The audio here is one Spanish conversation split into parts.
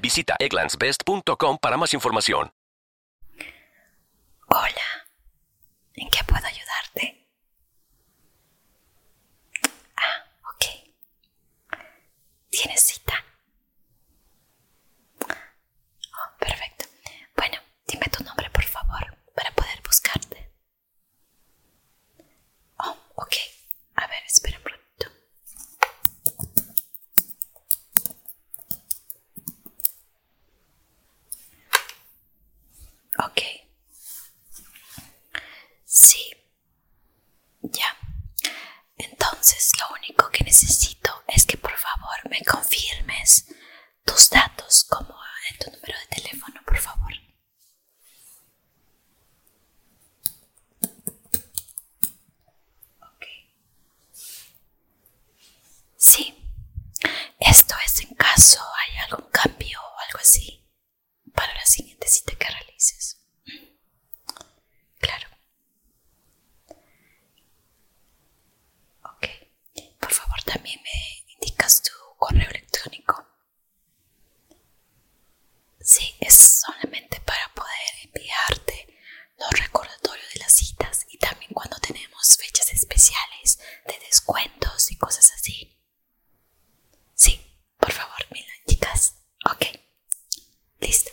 Visita egglandsbest.com para más información. Hola, ¿en qué puedo ayudarte? Ah, ok. ¿Tienes cita? Oh, perfecto. Bueno, dime tu nombre, por favor, para poder buscarte. Oh, ok. A ver, espera un ratito. Ok. Sí. Ya. Entonces lo único que necesito es que por favor me confirmes tus datos como en tu número de teléfono, por favor. Sí. Esto es en caso hay algún cambio o algo así para la siguiente cita que realices. Claro. Ok. Por favor, también me indicas tu correo electrónico. Sí, es solamente para poder enviarte los recordatorios de las citas y también cuando tenemos fechas especiales de descuentos y cosas así. Sí, por favor, Milan, chicas. Ok, listo.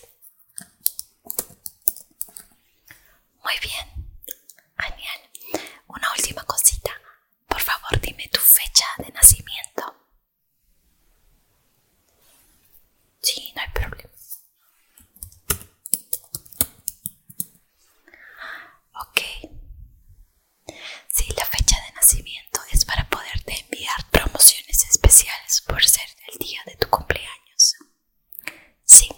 Muy bien, Aniel, Una última cosita. Por favor, dime tu fecha de nacimiento. Sí, no hay problema. Ok. Sí, la fecha de nacimiento es para poderte enviar promociones especiales por ser el día de tu cumpleaños. Sí,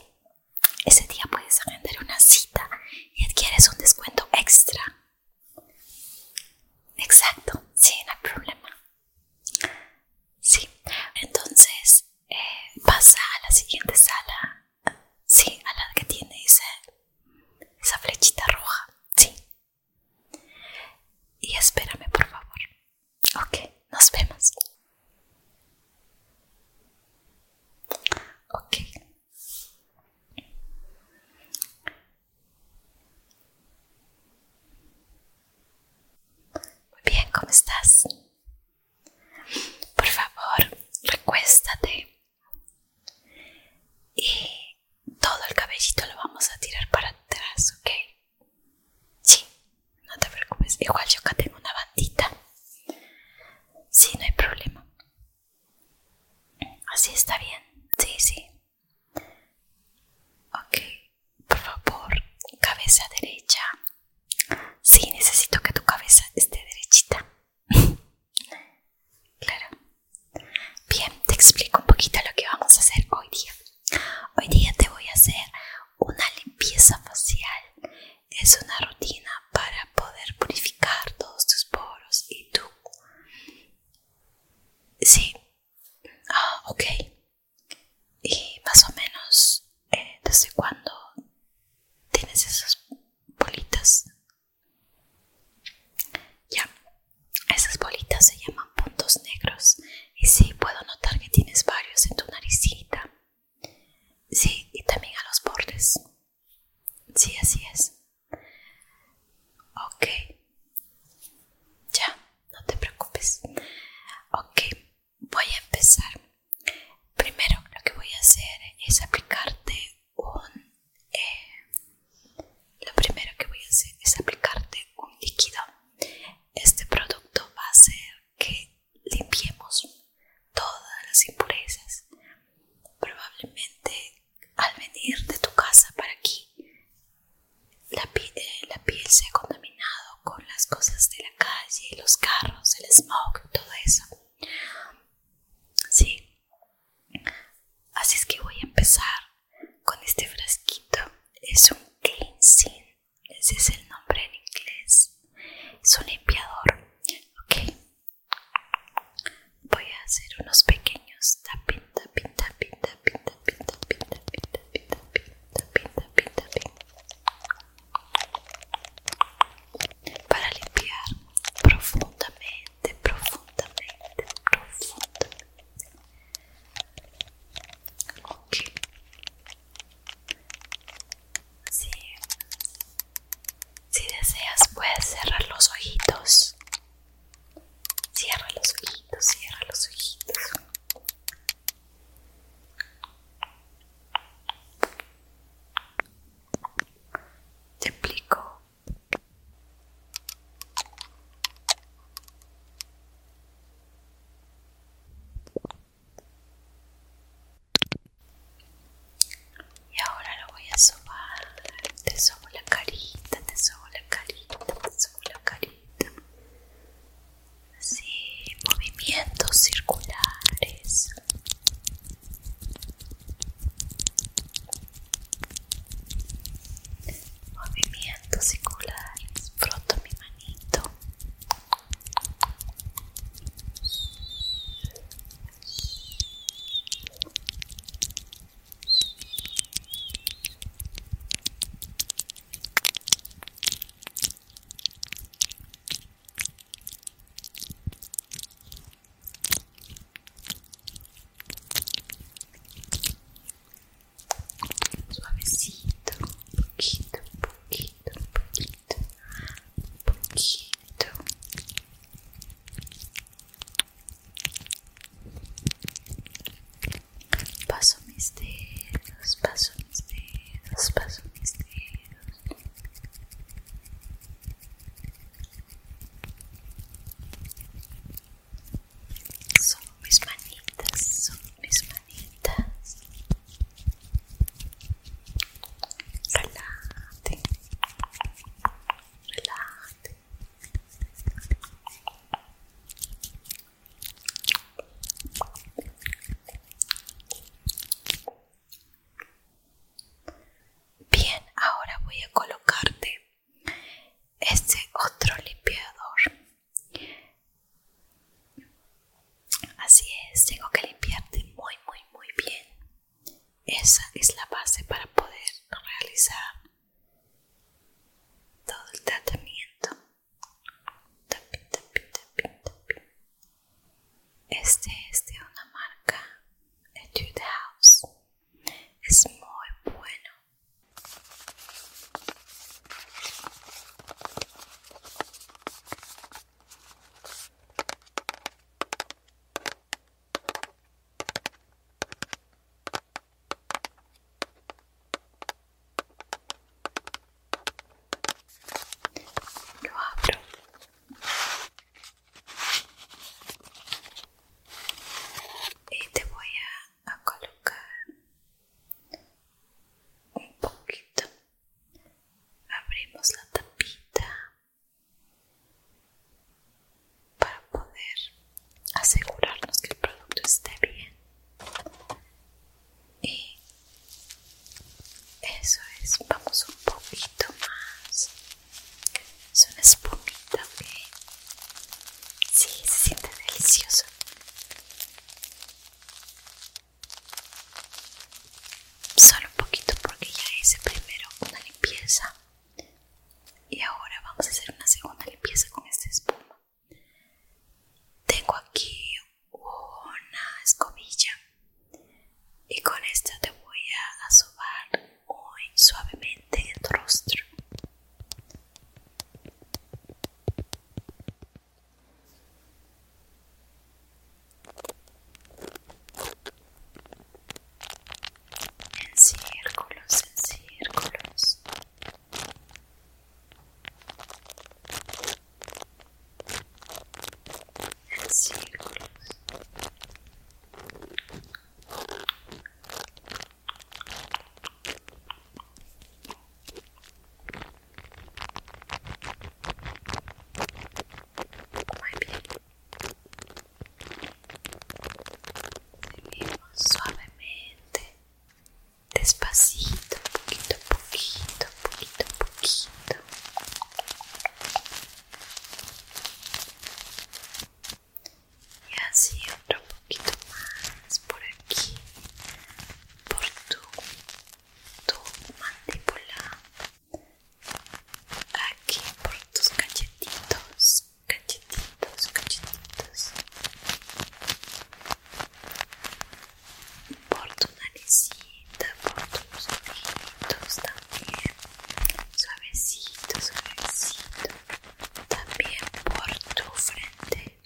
ese día puedes agendar una cita y adquieres un descuento extra. Exacto, sí, no hay problema. Sí, entonces eh, pasa a la siguiente sala. Sí, a la que tiene esa flechita roja. Sí. Y espérame, por favor. Ok, nos vemos. Ok. Muy bien, ¿cómo estás? Por favor, recuéstate. Y todo el cabellito lo vamos a tirar para atrás, ¿ok? Sí, no te preocupes. Igual yo acá tengo una bandita. Sí, no hay problema. Así está bien. Sí, sí. Ok, por favor, cabeza derecha. Sí, necesito que tu cabeza esté derechita. claro. Bien, te explico un poquito lo que vamos a hacer hoy día. Hoy día te voy a hacer una limpieza facial. Es una rutina para poder purificar todos tus poros y tú Sí. Ah, ok. Y más o menos, eh, ¿desde cuando tienes esas bolitas? Ya, esas bolitas se llaman puntos negros. Y sí, puedo notar que tienes varios en tu naricita. Sí, y también a los bordes. Sí, así es. Ok. Ya, no te preocupes. Ok, voy a empezar. Primero lo que voy a hacer es aplicarte un... Eh, lo primero que voy a hacer es aplicarte un líquido. Este producto va a hacer que limpiemos todas las impurezas. Probablemente al venir de tu casa para aquí eh, la, piel se ha contaminado con las cosas de la calle, los carros, el smog, todo eso. Así es que voy a empezar con este frasquito. Es un cleansing. Ese es el nombre en inglés. Es un limpiador. Voy a hacer unos pequeños tapping, tapping pinta, pinta, pinta, pinta, pinta, pinta, pinta, pinta, pinta, pinta, pinta. Para limpiar profundamente, profundamente, profundamente. Ok. Sí. Si deseas puedes cerrar los ojitos. Cierra los ojitos, cierra los ojitos. Te explico. Y ahora lo voy a sobar. Te sobo la carita, te sobo la carita, te sobo la carita. Sí, movimientos circulares. Movimientos circulares. Froto mi manito. Suavecito, pouquinho, pouquinho, pouquinho, pouquinho. Paso mis dedos, paso mis dedos, paso mis dedos. son mis manitas, son mis manitas. Relájate, relájate. Bien, ahora voy a colocarte este otro limpiador. Así es, tengo que limpiarte muy, muy, muy bien. Esa es la base para poder realizar todo el tratamiento. Este es de una marca Etude House. Es muy bueno. Lo abro. Y te voy a, a colocar un poquito. Abrimos la tapita para poder asegurarnos que el producto esté bien y eso es vamos un poquito más es una espumita que sí, se siente delicioso solo un poquito porque ya hice primero una limpieza y ahora vamos a hacer una segunda limpieza con esta espuma tengo aquí una escobilla y con esta te voy a sobar muy suavemente el rostro. En círculos, en círculos círculos muy bien seguimos suavemente despacito, poquito a poquito, poquito a poquito. Y así otro poquito más por aquí, por tu, tu mandíbula, aquí por tus cachetitos, cachetitos, cachetitos por tu naricita, por tus ojitos también, suavecito, suavecito, también por tu frente,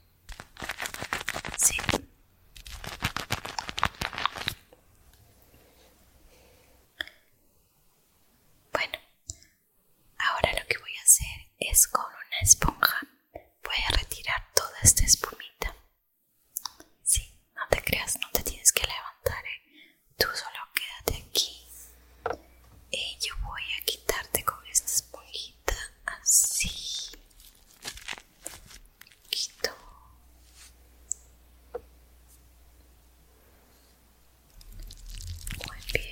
sí. Bueno, ahora lo que voy a hacer es con una esponja voy a retirar toda esta espumita. Sí, no te creas, no te tienes que levantar. ¿eh? Tú solo quédate aquí. Y eh, yo voy a quitarte con esta esponjita así. Quito. Muy bien.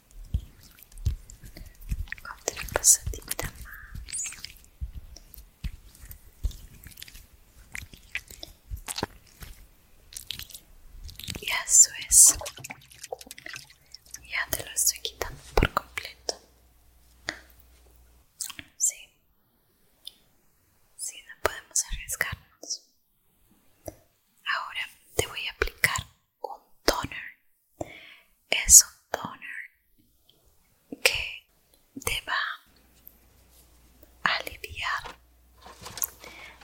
Otra pasadita más. Y eso es. Ya te lo estoy quitando por completo. Sí. Sí, no podemos arriesgarnos. Ahora te voy a aplicar un toner es un toner que te va a aliviar.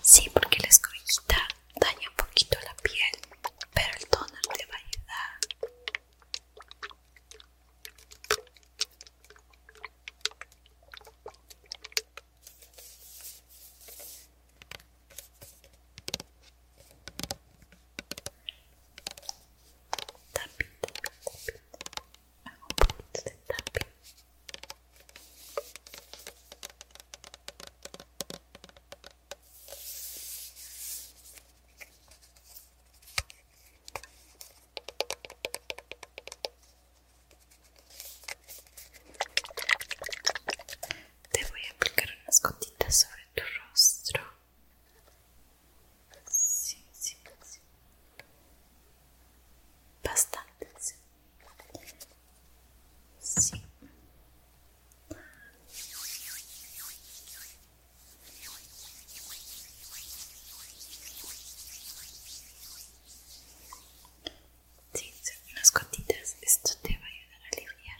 Sí, porque la escobillita daña un poquito la piel, pero el toner te va a ayudar tapita, tapping, Hago un Te voy a aplicar unas gotitas sobre tu rostro. Sí, sí, sí. Bastante. Sí. Sí, unas gotitas. Esto te va a ayudar a aliviar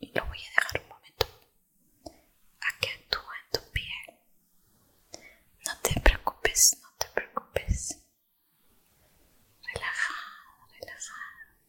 Y lo voy a dejar un momento a que actúe en tu piel. No te preocupes, no te preocupes. relajado relajado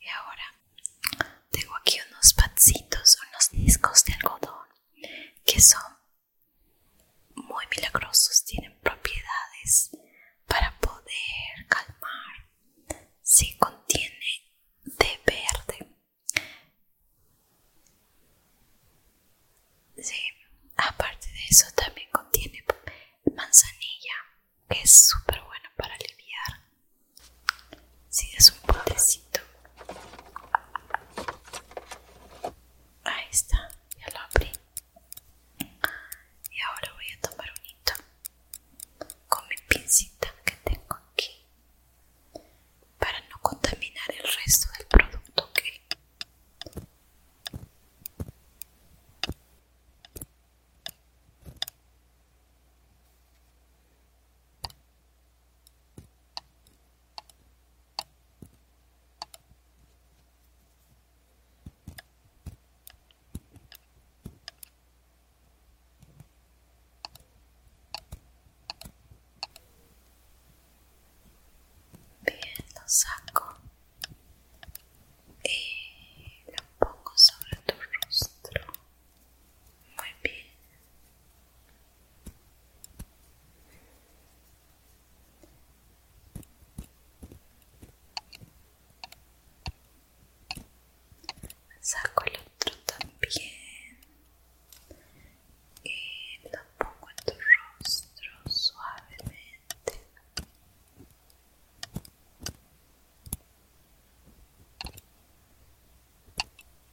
y ahora tengo aquí unos patsitos, unos discos de algodón que son muy milagrosos, tienen propiedades para poder calmar. Si contiene de verde. Sí, aparte de eso también contiene manzanilla, que es súper bueno para aliviar si es un potecito. Ahí está, ya lo abrí. Y ahora voy a tomar un hito con mi pincita que tengo aquí para no contaminar el resto del producto ok Bien, lo saco y eh, lo pongo sobre tu rostro. Muy bien. Saco el otro también y lo pongo en tu rostro suavemente.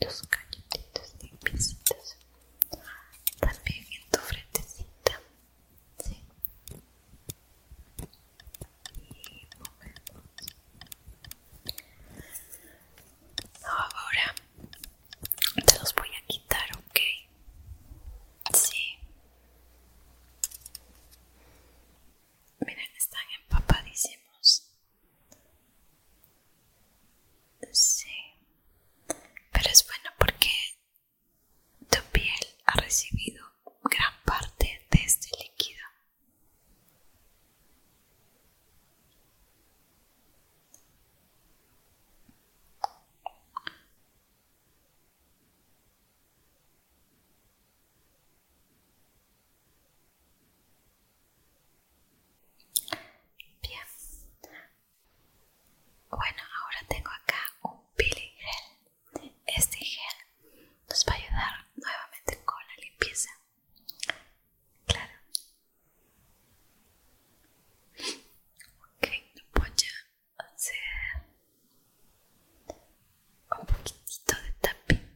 Cachetitos, cachetitos También en tu frentecita. Sí. Y movemos. Ahora te los voy a quitar, ok. Sí. Miren, están empapadísimos. Sí. Pero es bueno porque tu piel ha recibido gran parte de este líquido. Bien. Bueno, ahora tengo acá un peeling gel. Este gel nos va a ayudar nuevamente con la limpieza. Claro. Ok, voy ya o sea un poquitito de tapping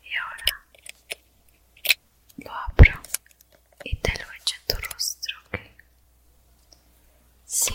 y ahora lo abro y te lo eche en tu rostro, ¿ok? Sí.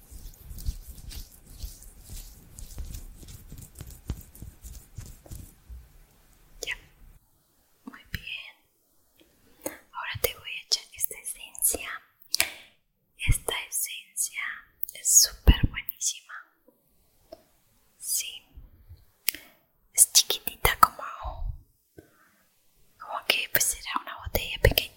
Muy bien. Ahora te voy a echar esta esencia. Esta esencia es súper buenísima. Sí. Es chiquitita como... Como que pues era una botella pequeñita.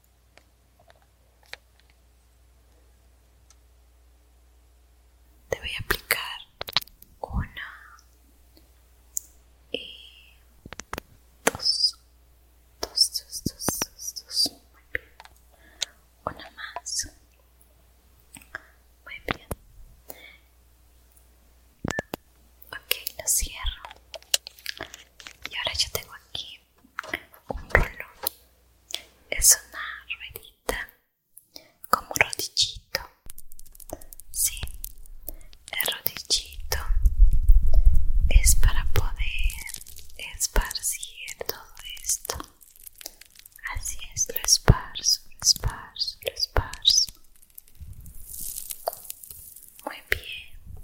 Te voy a aplicar una y eh, dos, dos, dos, dos, dos, Muy bien. Una más. Muy bien. Ok, lo cierro. Y ahora ya tengo aquí un rollo es una ruedita como un rodillito sí el rodillito es para poder esparcir todo esto así es lo esparzo lo esparzo lo esparzo muy bien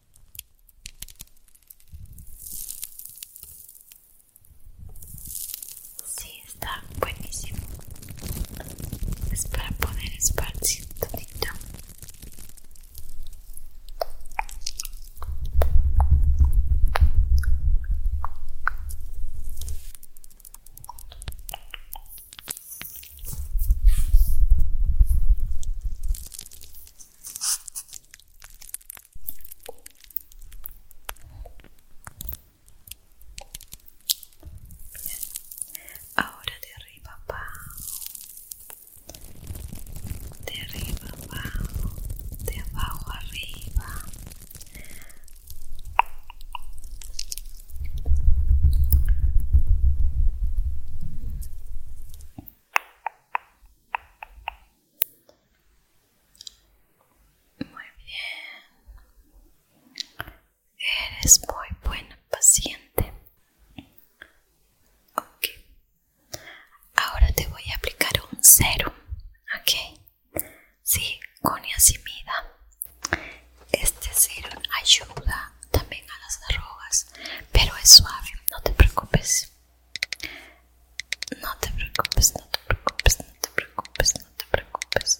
Sí, está buenísimo. Es para poner espacio todito. Ahora de arriba abajo, de arriba abajo, de abajo arriba. Muy bien. Eres muy buena paciente. Ahora te voy a aplicar un serum. Ok. Sí, con yacimida Este serum ayuda también a las arrojas pero es suave, no te preocupes. No te preocupes, no te preocupes, no te preocupes, no te preocupes.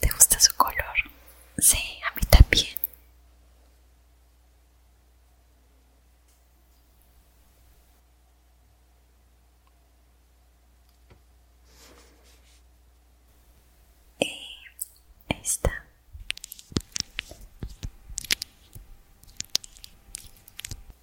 ¿Te gusta su color? Sí, a mí también. Y esta.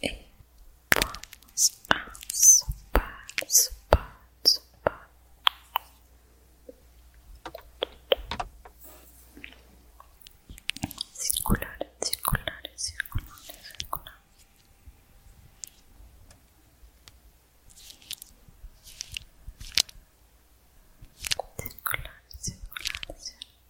Y vamos a sopar, sopar, sopar. Circular, circulares, circulares, circular. Circular, circulares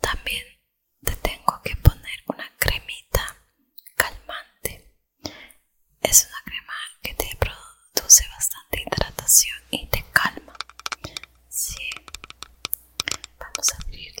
También te tengo que poner una cremita calmante. Es una crema que te produce bastante hidratación y te calma. Sí. Vamos a abrirla.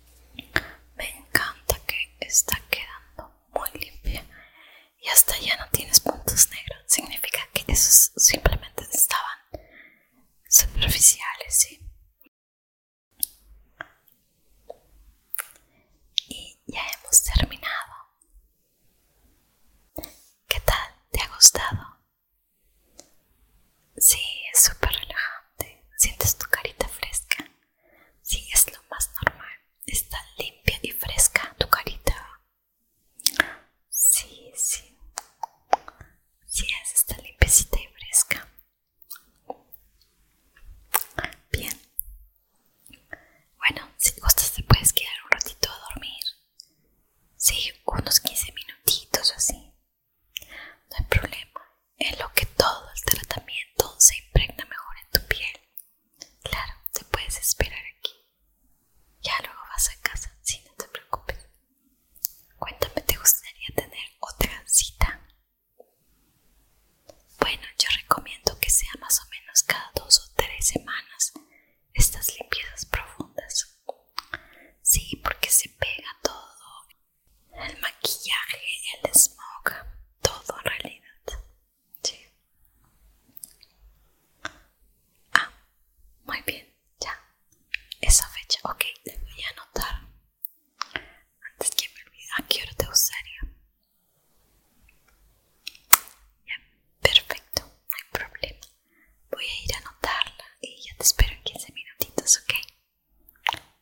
Me encanta que está quedando muy limpia y hasta ya no tienes puntos negros. Significa que esos simplemente estaban superficiales, ¿sí? Y ya hemos terminado. ¿Qué tal? ¿Te ha gustado? Sí, es súper relajante. Sientes tu carita fresca. Sí, es lo más normal. Está limpia y fresca tu carita. Sí, sí. Sí, es está limpiecita y fresca. Bien. Bueno, si gustas te puedes quedar un ratito a dormir. Sí, unos 15 minutitos o así. No hay problema, es lo que todo el tratamiento se impregna mejor en tu piel. Claro, te puedes esperar aquí. Ya luego vas a casa, si no te preocupes. Cuéntame, ¿te gustaría tener otra cita? Bueno, yo recomiendo que sea más o menos cada dos o tres semanas estas limpiezas profundas. Sí, porque se pega todo el maquillaje, el smog, todo en realidad. Sí. Ah, muy bien, ya. Esa fecha, ok, le voy a anotar. Antes que me olvide, ¿a qué hora te usaría? Ya, perfecto, no hay problema. Voy a ir a anotarla y ya te espero en 15 minutitos, ok.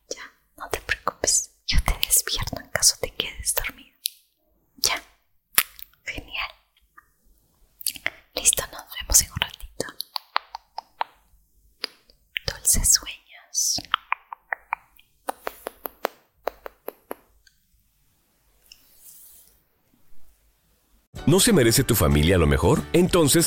Ya, no te preocupes, yo te despierto en caso te quedes dormido. Ya, genial. Listo, nos vemos en un ratito. Dulces sueños. ¿No se merece tu familia a lo mejor? Entonces,